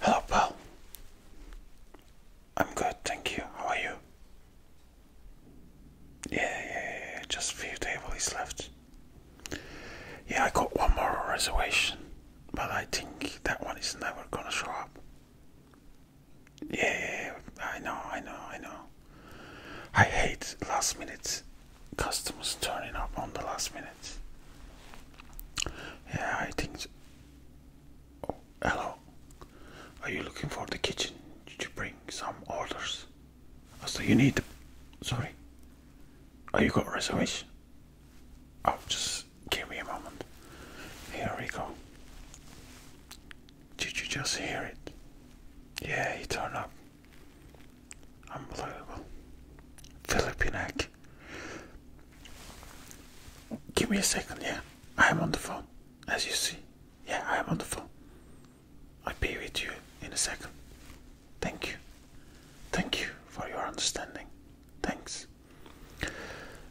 Hello, pal. I'm good, thank you. How are you? Yeah, yeah, yeah. Just a few tables left. Yeah, I got one more reservation, but I think that one is never gonna show up. Yeah, I know, I know, I know. I hate last minute customers turning up on the last minute. Yeah, I think. Oh, hello. Are you looking for the kitchen? Did you bring some orders? Oh, so you need. The... Sorry. Are oh, you got a reservation? Oh, just give me a moment. Here we go. Did you just hear it? Yeah, he turned up. Unbelievable. Philippine egg. Give me a second, yeah. I am on the phone, as you see. Yeah, I am on the phone. I'll be with you in a second. Thank you. Thank you for your understanding. Thanks.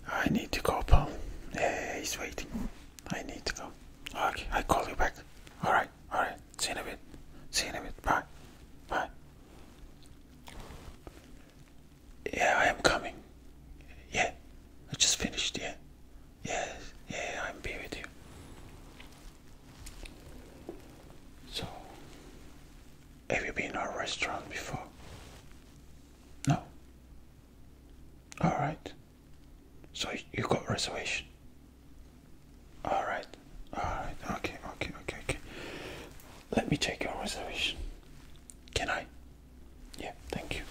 I need to go, Paul. Yeah, he's waiting. I need to go. Okay, I call you back. Alright, alright. See you in a bit. See you in a bit. Bye. Bye. Yeah, I am coming. Yeah, I just finished. Yeah, yes, yeah, I'm be with you. So, have you been in our restaurant before? No. All right. So you got reservation? All right, all right, okay, okay, okay, okay. Let me check your reservation. Can I? Yeah, thank you.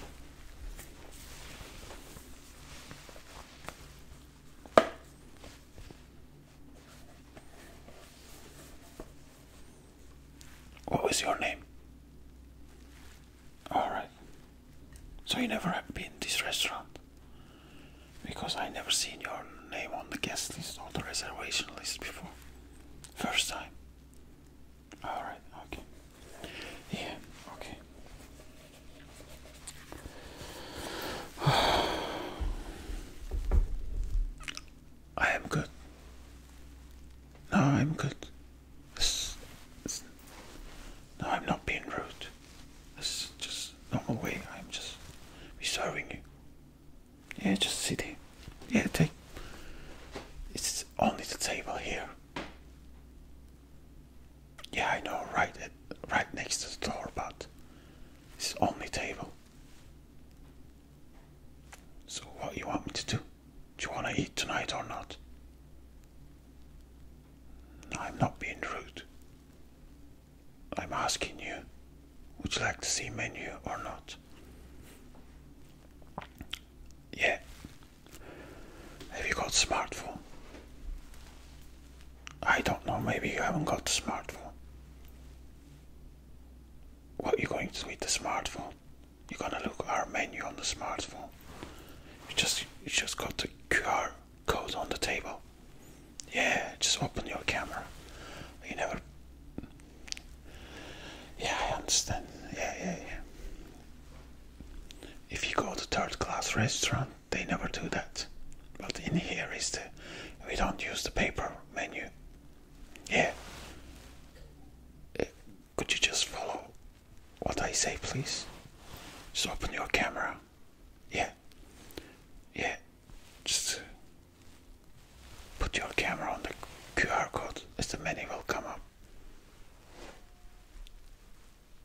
What was your name? Alright. So you never have been to this restaurant? Because I never seen your name on the guest list or the reservation list before. First time. Alright, okay. Yeah, okay. I am good. No, I'm good. No, I'm not being rude. This is just normal way. I'm just reserving you. Yeah, just sit here. Yeah, take. It's only the table here. Yeah, I know, right, at, right next to the door, but it's only table. So what you want me to do? Do you want to eat tonight or not? I'm not being rude. I'm asking you, would you like to see menu or not? Yeah. Have you got smartphone? I don't know, maybe you haven't got smartphone. What are you going to do with the smartphone? You're gonna look our menu on the smartphone. You just you just got the QR code on the table. Yeah, just open your camera. You never. Yeah, I understand. Yeah, yeah, yeah. If you go to third class restaurant, they never do that. But in here is the. We don't use the paper menu. Yeah. Uh, could you just follow what I say, please? Just open your camera. Yeah yeah, just put your camera on the QR code as the menu will come up.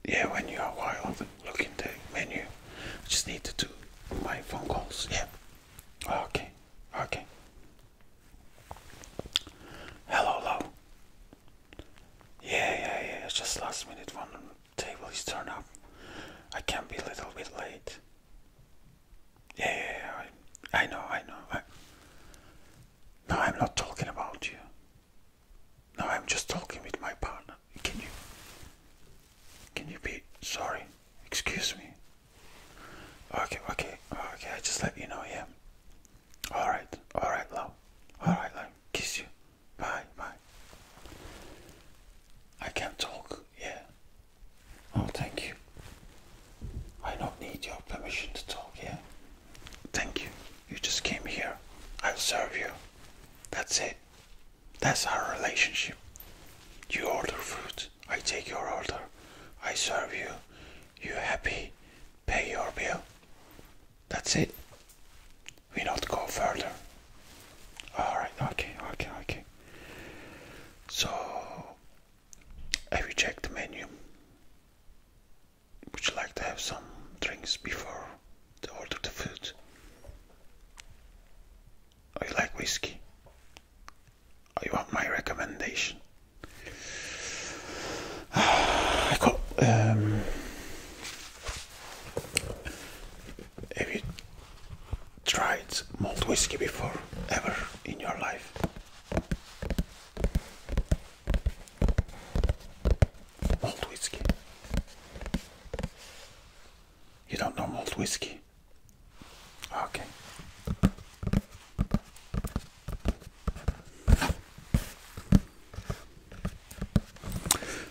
Yeah, when you are wild, look in the menu. I just need to do my phone calls. Yeah. Okay. Okay. Hello, hello. Yeah, yeah, yeah. It's Just last minute one table is turned up. I can be a little bit late. Yeah, yeah, yeah I, know, I know. I, no, I'm not talking about you. No, I'm just talking with my partner. Can you? Can you be sorry? Excuse me. Okay, okay, okay. I just let you know. Yeah. All right, all right, love. All right, love. Kiss you. Bye, bye. I can't talk, yeah. Oh, thank you. I don't need your permission to talk, yeah. Thank you. You just came here. i serve you. That's it. That's our relationship. You order food, I take your order, I serve you, you happy, pay your bill. That's it we not go further. Alright, okay, okay, okay. So, I reject the menu? Would you like to have some drinks before to order the food? Or you like whiskey? Or you want my recommendation? I go. Um, have you tried malt whiskey before, ever in your life? Malt whiskey. You don't know malt whiskey? Okay.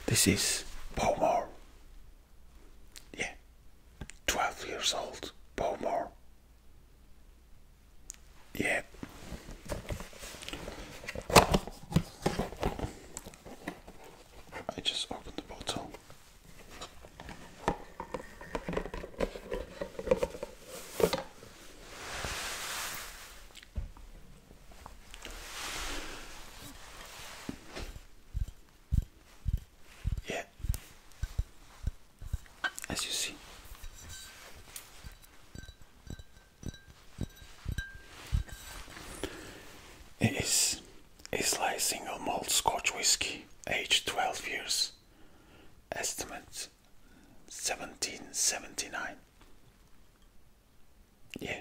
This is Pomor. Yeah, 12 years old, Pomor. Yeah. I just opened the bottle. Yeah, as you see. It is a single malt Scotch whisky, aged 12 years, estimate 1779. Yeah.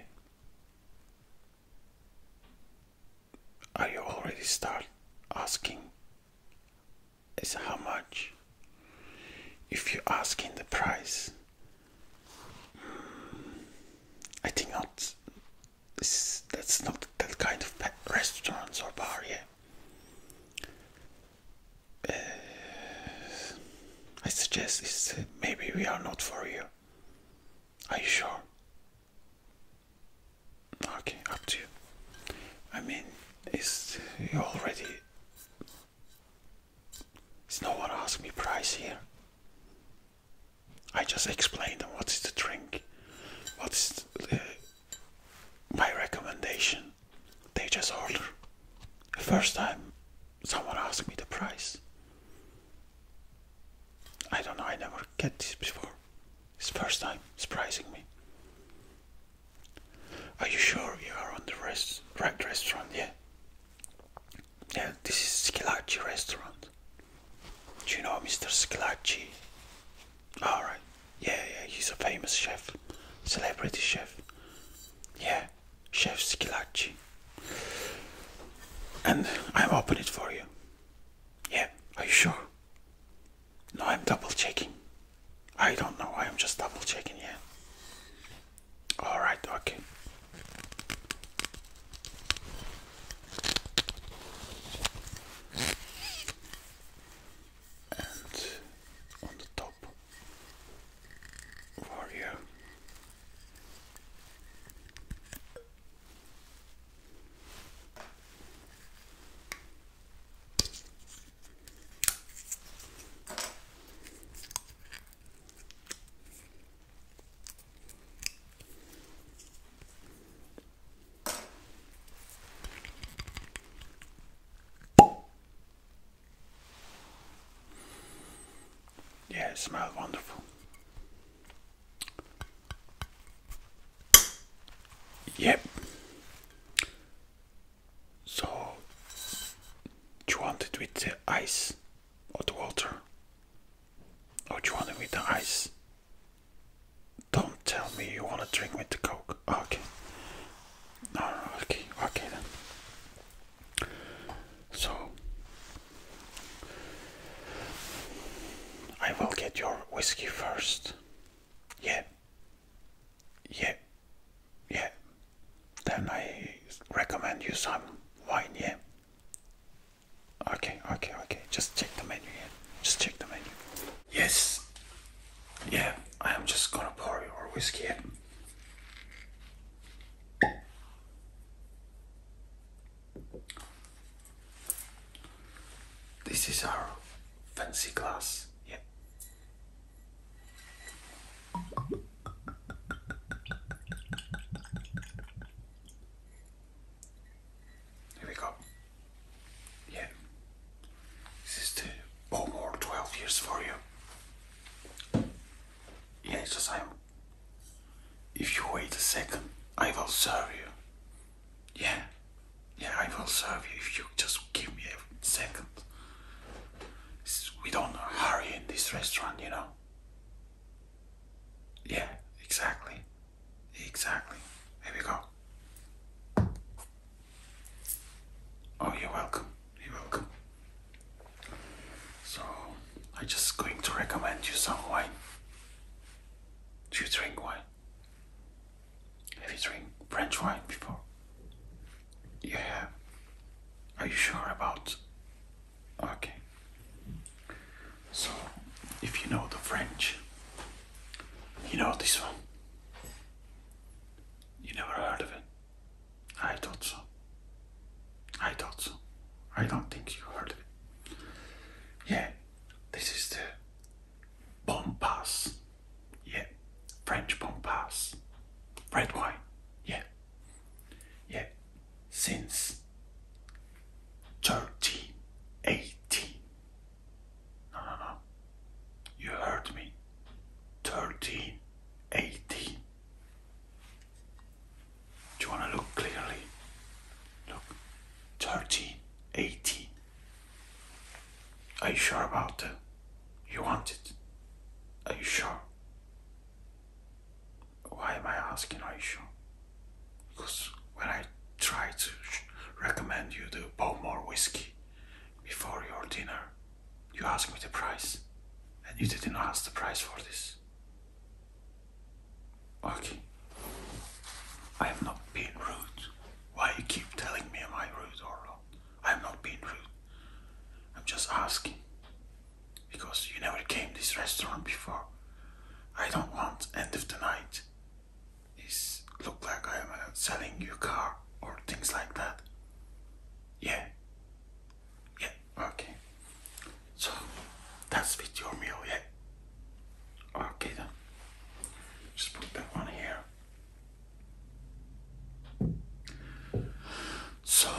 Are you already start asking is how much? If you asking the price, I think not. This, that's not that kind of restaurants or bar, yeah. Uh, I suggest is uh, maybe we are not for you. Are you sure? Okay, up to you. I mean, is you already? Is no one asked me price here? I just explained what is the drink, what's uh, my recommendation, they just order. The first time someone asked me the price. I don't know, I never get this before. It's first time surprising me. Are you sure you are on the right restaurant? Yeah. Yeah, this is Skilacci restaurant. Do you know Mr. Skilacci? Alright. Yeah, yeah, he's a famous chef. Celebrity chef. Yeah chef's kolache and I'm open it for you. Yeah, are you sure? No, I'm double checking. I don't know, I'm just double checking, yeah. Alright, okay and on the top warrior yeah, it smells wonderful. Yep. So, do you want it with the ice or the water? Or do you want it with the ice? Don't tell me you want to drink with the coke. Ah, okay. No, okay, okay then. So I will get your whiskey first. Yeah. Yeah. Yeah. Then I recommend you some wine, yeah. Okay, okay, okay. Just check the menu, yeah. Just check the menu. Yes. Yeah, I am just gonna pour your whiskey in. This is our fancy glass. Yeah. Here we go. Yeah. This is the oh more 12 years for you. Yeah, just I'm. If you wait a second, I will serve you. Yeah. Yeah, I will serve you if you just give me a second. We don't hurry in this restaurant, you know. Yeah, exactly. Exactly. Here we go. Oh, you're welcome. You're welcome. So, I'm just going to recommend you some wine. Do you drink wine? Have you drank French wine before? You have? Are you sure about? Okay. So, if you know the French, you know this one. You never heard of it? I thought so. I thought so. I don't think you heard of it. Yeah, this is the bon Yeah, French bon Red wine. Yeah. Yeah, since 1318. No, no, no. You heard me. 13, 18. Do you want to look clearly? Look. 13, 18. Are you sure about that? You want it? Are you sure? Why am I asking are you sure? Because when I try to recommend you to Bowmore whiskey before your dinner. You asked me the price, and you didn't ask the price for this. Okay. I have not been rude. Why you keep telling me am I rude or not? I am not being rude. I'm just asking. Because you never came this restaurant before. I don't want end of the night is look like I am uh, selling you car or things like that. Yeah. Yeah. Okay. So that's with your meal. Yeah. Okay then. Just put that one here. So,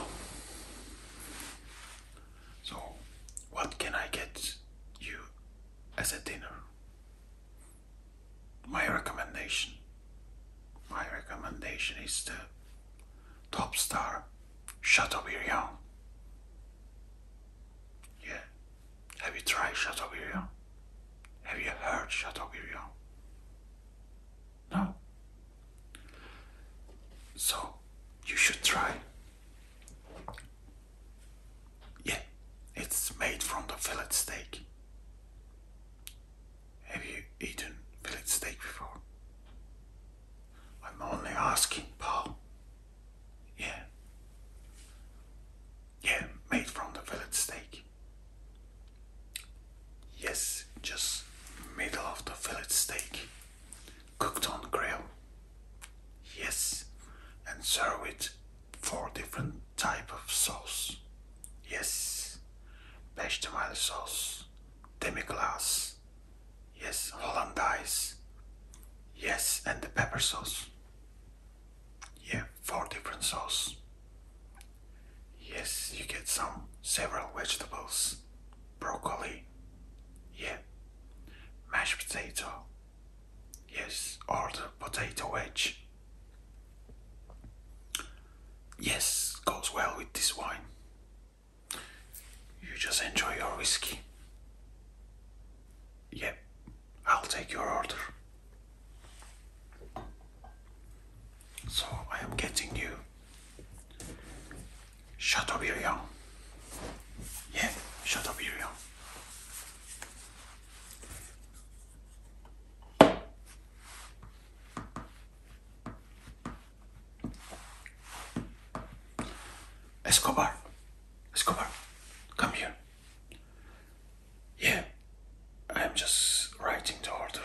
so what can I get you as a dinner? my recommendation my recommendation is the top star Chateaubriand. Yeah. Have you tried Chateaubriand? Have you heard Chateaubriand? No. So you should try yeah, it's made from the fillet steak. Have you eaten fillet steak before? I'm only asking, Paul. Yeah. Yeah, made from the fillet steak. Yes, just middle of the fillet steak, cooked on grill. Yes. And serve with four different type of sauce. Yes. Bechamel sauce. Demi-glace. Yes. Hollandaise. Yes. And the pepper sauce. Yeah. Four different sauce. Yes. You get some several vegetables. Broccoli. Yeah. Mashed potato. Yes, old potato wedge. Yes, goes well with this wine. You just enjoy your whiskey. Yep, I'll take your order. So I am getting you Chateaubriand. Yeah, Chateaubriand. Escobar, Escobar, come here. Yeah, I'm just writing the order.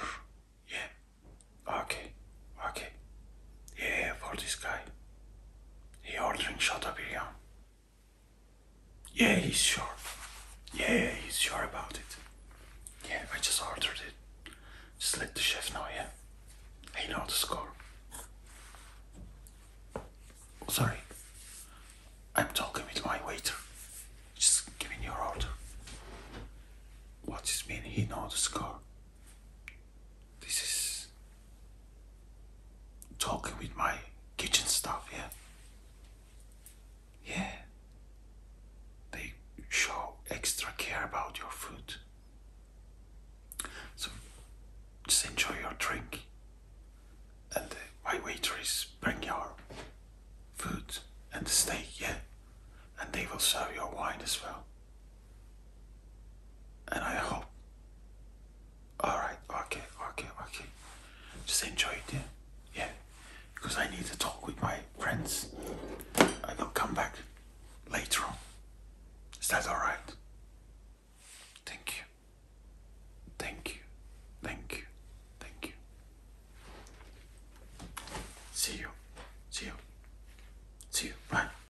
Yeah, okay, okay. Yeah, for this guy. He ordering shot up here. Yeah, he's sure. Yeah, he's sure about it. Yeah, I just ordered it. Just let the chef know, yeah? He knows the score. Sorry. I'm talking with my waiter. Just giving your order. What does mean he knows the score? This is talking with my kitchen staff here. Yeah. yeah. They show extra care about your food. So just enjoy your drink. And my waitress bring your food and stay. steak, yeah. And they will serve your wine as well. And I hope. Alright, okay, okay, okay. Just enjoy it, yeah? Because I need to talk with my friends. I will come back later on. Is that alright? Thank you. Thank you. Thank you. Thank you. See you. See you. See you. Bye.